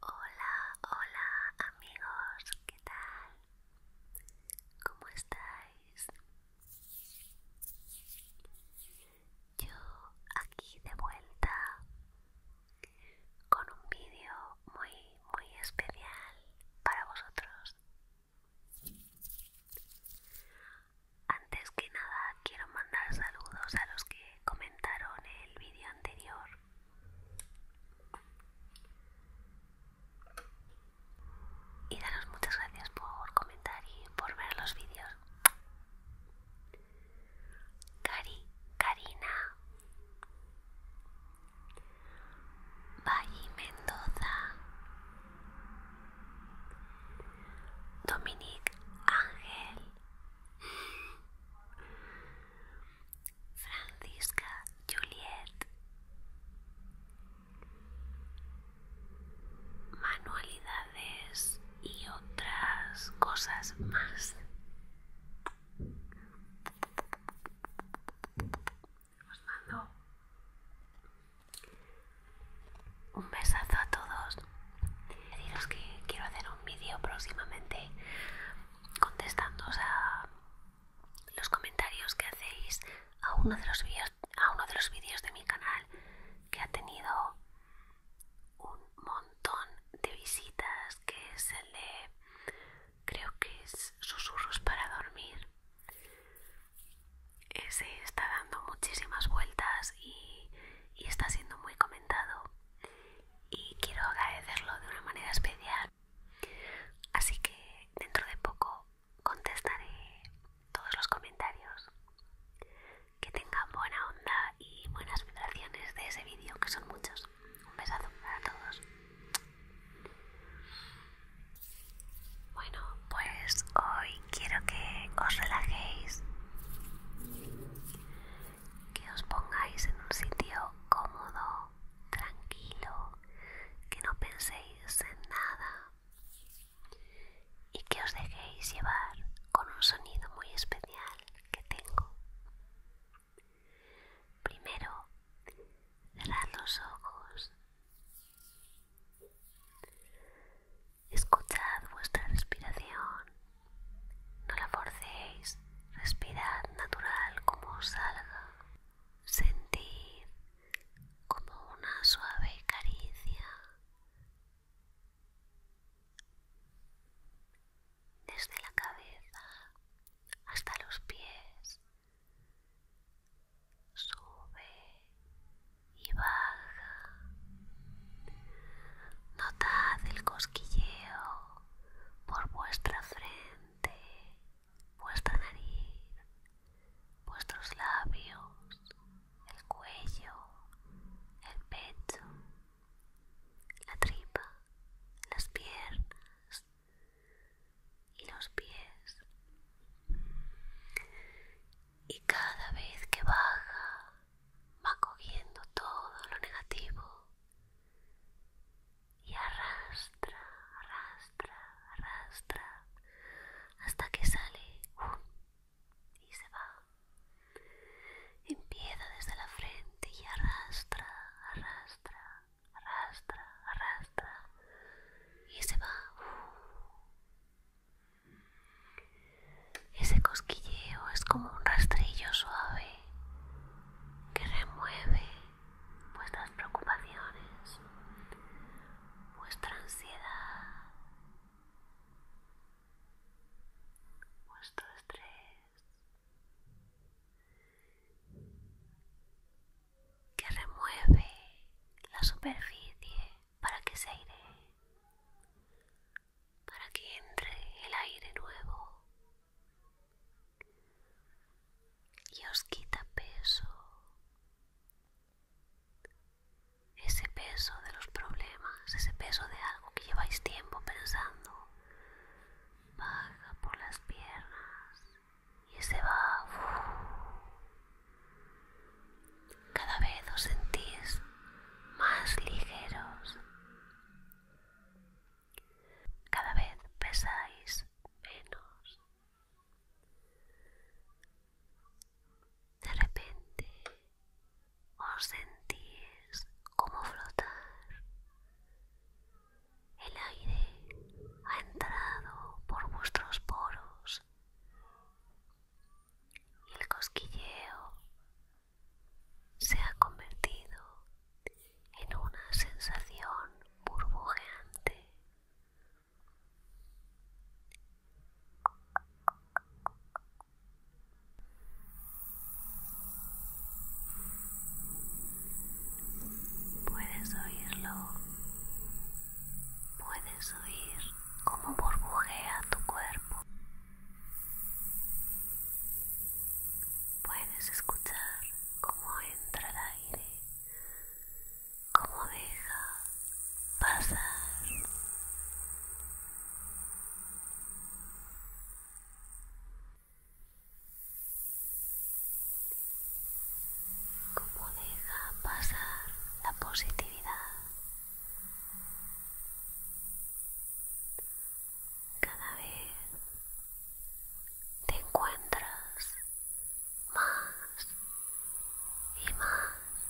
Hola, hola amigos, ¿qué tal? ¿Cómo estáis? Yo aquí de vuelta con un vídeo muy, muy especial para vosotros. Antes que nada quiero mandar saludos a los que comentaron el vídeo anterior y daros muchas gracias por comentar y por ver los vídeos Cari, Karina Valle Mendoza Dominic Ángel Francisca Juliet Manualidades y otras cosas más. Os mando un besazo a todos que quiero hacer un vídeo próximamente contestando a los comentarios que hacéis a uno de los vídeos a uno de los vídeos de mi canal que ha tenido un montón de visitas que es el de creo que es susurros para dormir ese está dando muchísimas vueltas y está siendo muy comentado y quiero agradecerlo de una manera especial. Así que dentro de poco contestaré todos los comentarios. Que tengan buena onda y buenas vibraciones de ese vídeo, que son muchos. Un besazo para todos. Bueno, pues hoy quiero que os relajéis que os pongáis en un sitio cómodo, tranquilo, que no penséis en nada y que os dejéis llevar con un sonido muy especial que tengo. Primero, cerrad los ojos. Escuchad vuestra respiración. No la forcéis. Respirad natural como os salga. Sentid como una suave caricia desde la cabeza hasta los pies. Sube y baja Notad el cosquilleo por vuestra frente, vuestra nariz, vuestros labios, el cuello, el pecho, la tripa, las piernas y los pies. Y cada vez que baja va cogiendo todo lo negativo y arrastra, arrastra, arrastra hasta que sale y se va. Empieza desde la frente y arrastra, arrastra, arrastra, arrastra y se va. Ese cosquilleo es como un rastrillo suave que remueve vuestras preocupaciones, vuestra ansiedad, vuestro estrés, que remueve la superficie para que se aire para que entre el aire nuevo y os quita peso, ese peso de los problemas, ese peso de algo que lleváis tiempo pensando, baja por las piernas y se va. Cada vez os sentís más ligeros cada vez pesáis menos. De repente os sentís como flotar. El aire ha entrado por vuestros poros y el cosquilleo se ha convertido en una sensación burbujeante. Puedes oírlo, puedes oír cómo burbujea tu cuerpo. Puedes escuchar cómo entra el aire, cómo deja pasar. Cómo deja pasar la positividad cada vez te encuentras más y más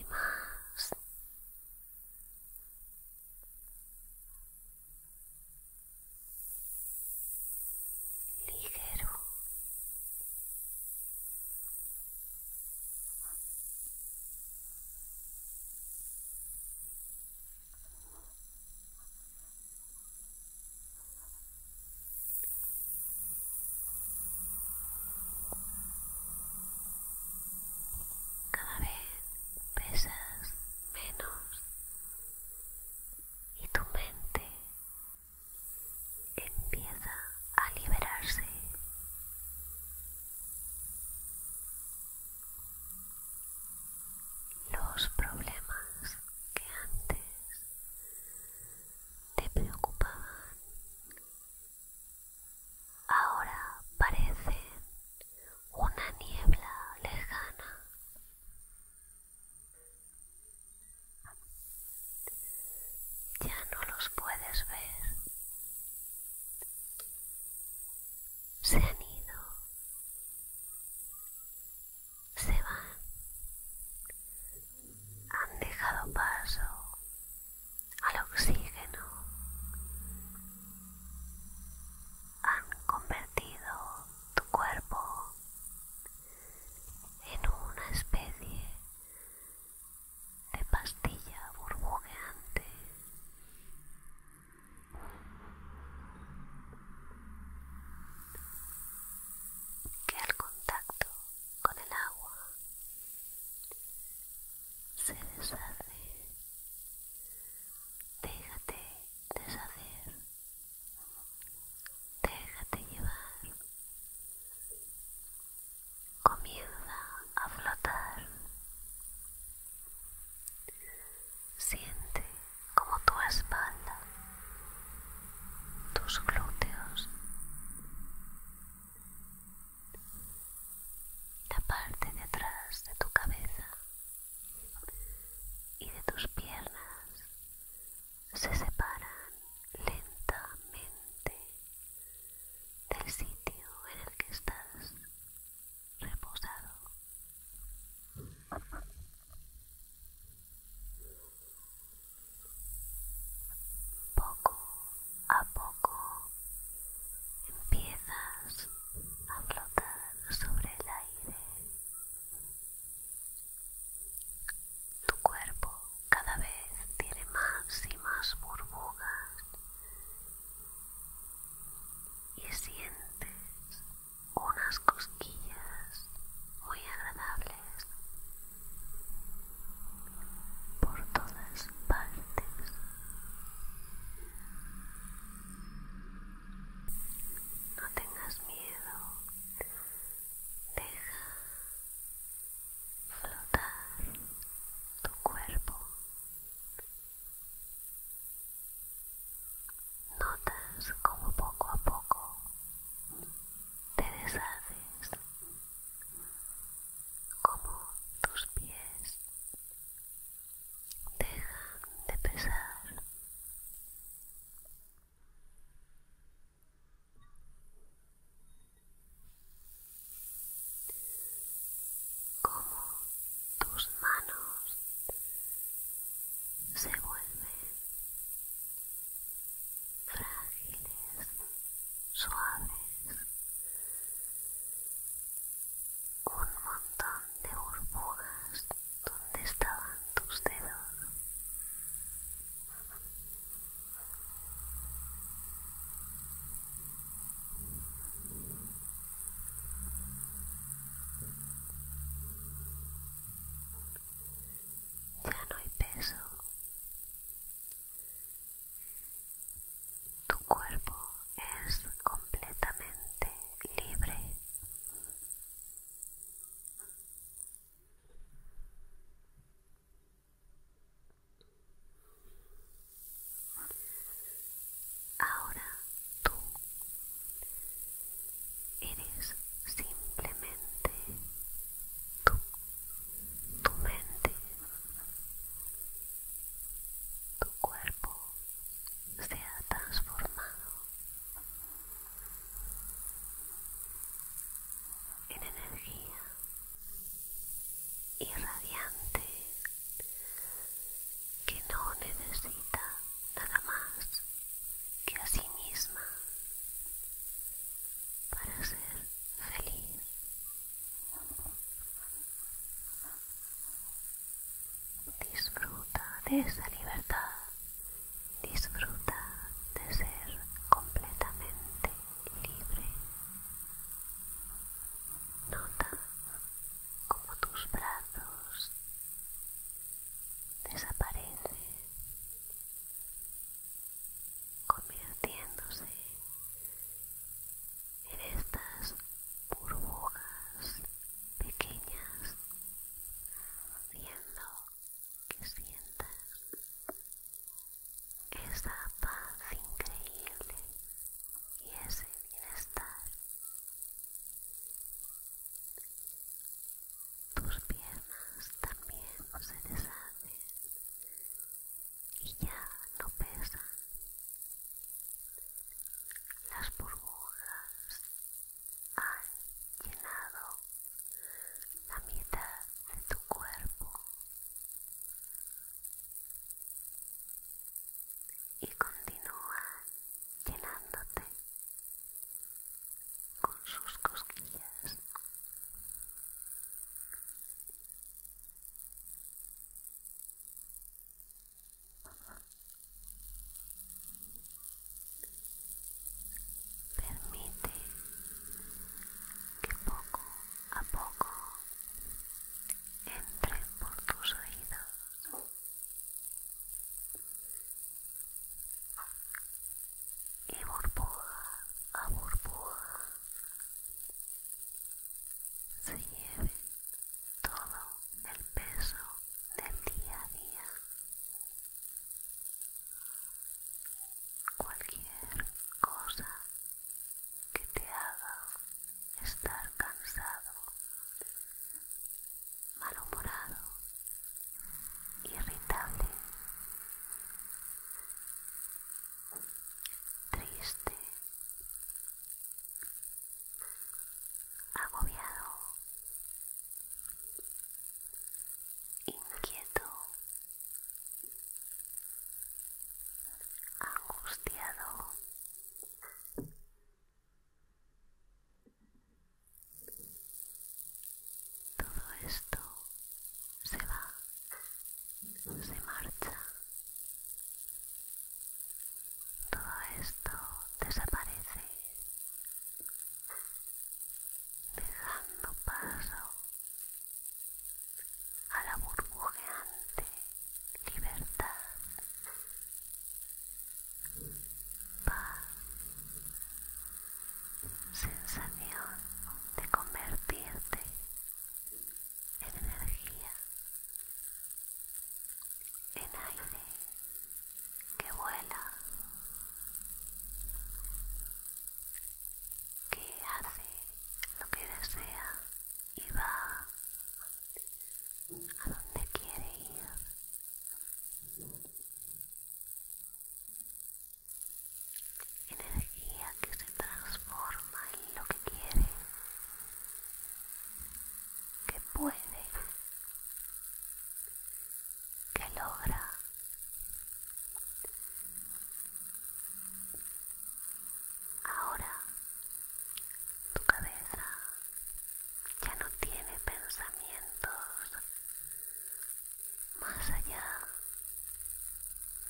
y más ligero cada vez pesas menos y tu mente empieza a liberarse los problemas que antes te preocupaban ahora parecen una niebla lejana. Ya no los puedes ver se han ido, se van, han dejado paso al oxígeno, han convertido tu cuerpo en una especie de pastilla burbujeante. Que al contacto con el agua se deshace. Déjate deshacer. Déjate llevar comienza a flotar. Siente como tu espalda, tus glúteos, la parte de atrás de tu cabeza y de tus piernas se separan lentamente del sitio en el que estás reposado. Poco a poco empiezas a flotar sobre el aire. Tu cuerpo cada vez tiene más y más burbujas y sientes unas cosquillas muy agradables por todas partes. No tengas miedo, deja flotar tu cuerpo. Notas como poco a poco te deshaces, como tus pies dejan de pesar como tus manos se vuelven frágiles, suaves, un montón de burbujas donde estaban tus dedos. Ya no hay peso. Tu cuerpo es completamente libre. Ahora tú eres simplemente tú, tu mente, tu cuerpo se ha transformado en energía irradiante que no necesita nada más que a sí misma para ser feliz. Disfruta de esa libertad, disfruta de ser completamente libre. Nota como tus brazos desaparecen convirtiéndose en estas burbujas pequeñas haciendo que sientas esa paz increíble y ese bienestar. Tus piernas también se deshacen y ya no pesan. Las burbujas han llenado la mitad de tu cuerpo y continúa llenándote con sus cosquillas. Permite que poco a poco entre por tus oídos y burbuja a burbuja se lleve todo el peso del día a día cualquier cosa que te haga estar cansado, malhumorado, irritable, triste, agobiado, inquieto, angustiado todo esto se va, se marcha. Todo esto desaparece, dejando paso a la burbujeante libertad, paz, sensación de convertirte en energía, en aire que vuela, que hace lo que desea y va a dónde quiere ir. Energía que se transforma en lo que quiere, que puede, que logra. Ahora tu cabeza ya no tiene pensamientos más allá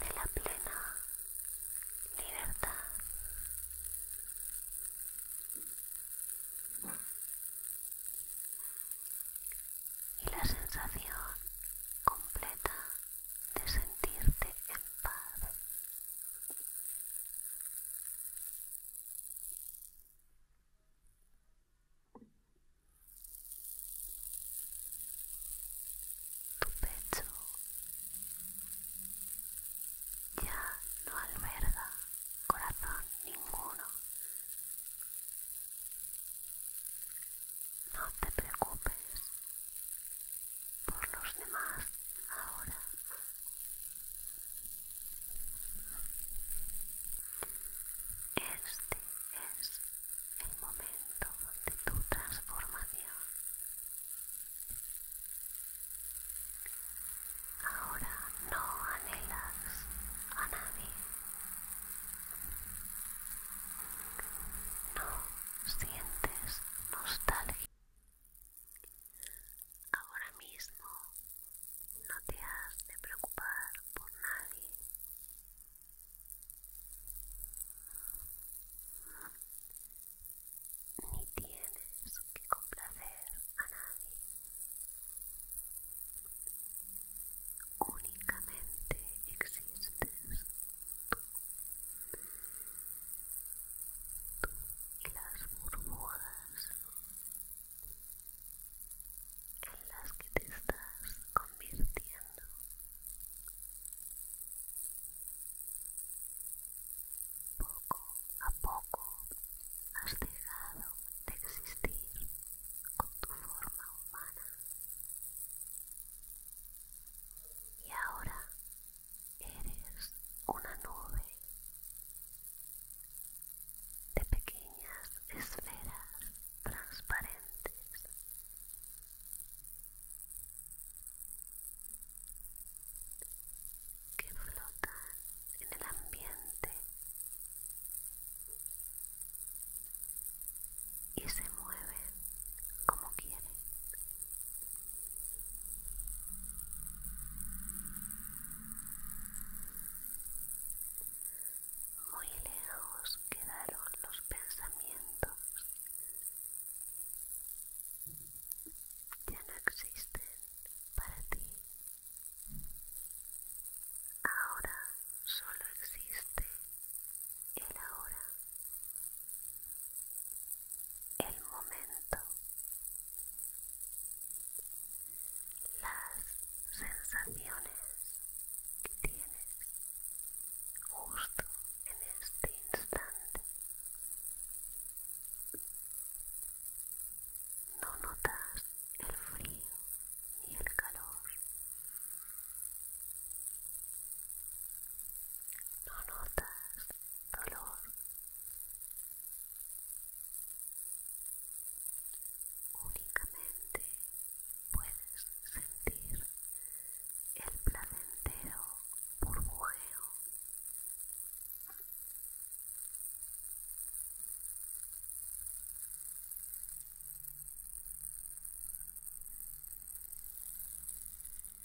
de la plena libertad. Y la sensación completa de sentirte en paz tu pecho ya no alberga corazón ninguno. No te preocupes por los demás ahora. Este es el momento de tu transformación. Ahora no anhelas a nadie. No sientes nostalgia Ahora mismo no te has de preocupar por nadie. Ni tienes que complacer a nadie. Únicamente existes y las burbujas en las que te estás convirtiendo. Poco a poco has dejado de existir con tu forma humana. Y ahora Eres una nube de pequeñas esferas transparentes. que flotan en el ambiente y se mueven como quieren muy lejos quedaron los pensamientos. Ya no existen para ti. Ahora solo existe el ahora el momento, las sensaciones que tienes justo en este instante. No notas el frío ni el calor. No notas dolor, únicamente puedes sentir el placentero burbujeo. Sé libre,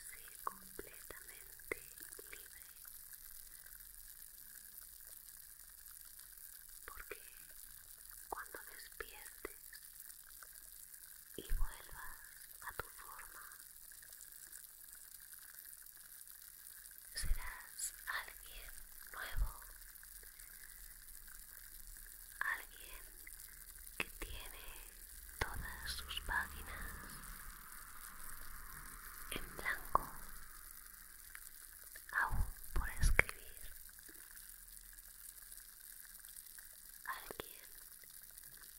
sé completamente libre, porque cuando despiertes y vuelvas a tu forma. Serás alguien nuevo, alguien que tiene todas sus páginas en blanco aún por escribir alguien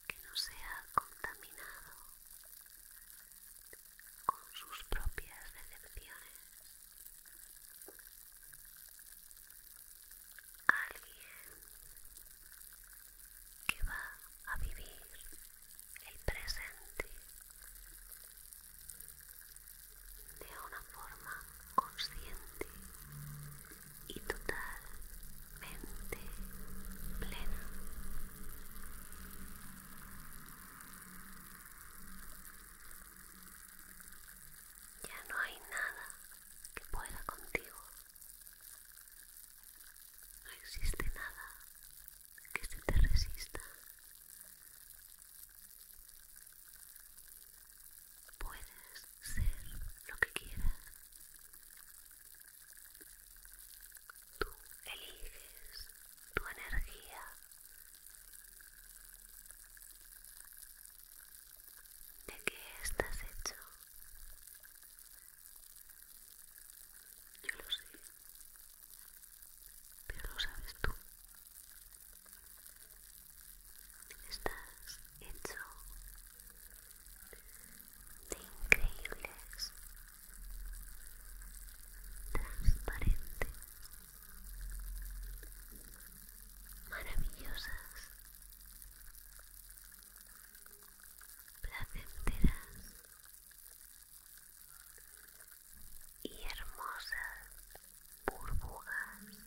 que no sea contaminado con sus propias decepciones, alguien que va a vivir el presente de una forma consciente y totalmente plena. Ya no hay nada que pueda contigo. No existe nada que se te resista. Puedes ser lo que quieras. Tú eliges tu energía. ¿De qué estás hecho? Yo lo sé, pero lo sabes tú. Estás hecho de increíbles, transparentes, maravillosas, placenteras y hermosas burbujas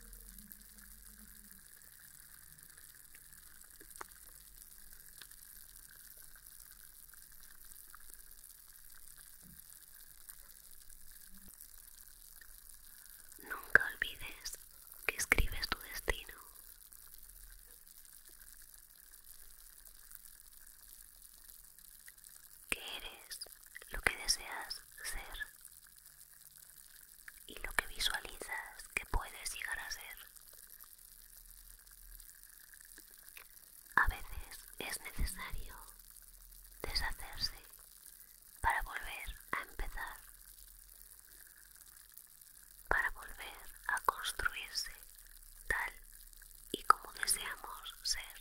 Nunca olvides que escribes tu destino. Que eres lo que deseas ser y lo que visualizas que puedes llegar a ser. A veces es necesario deshacerse para volver a empezar, para volver a construirse tal y como deseamos ser.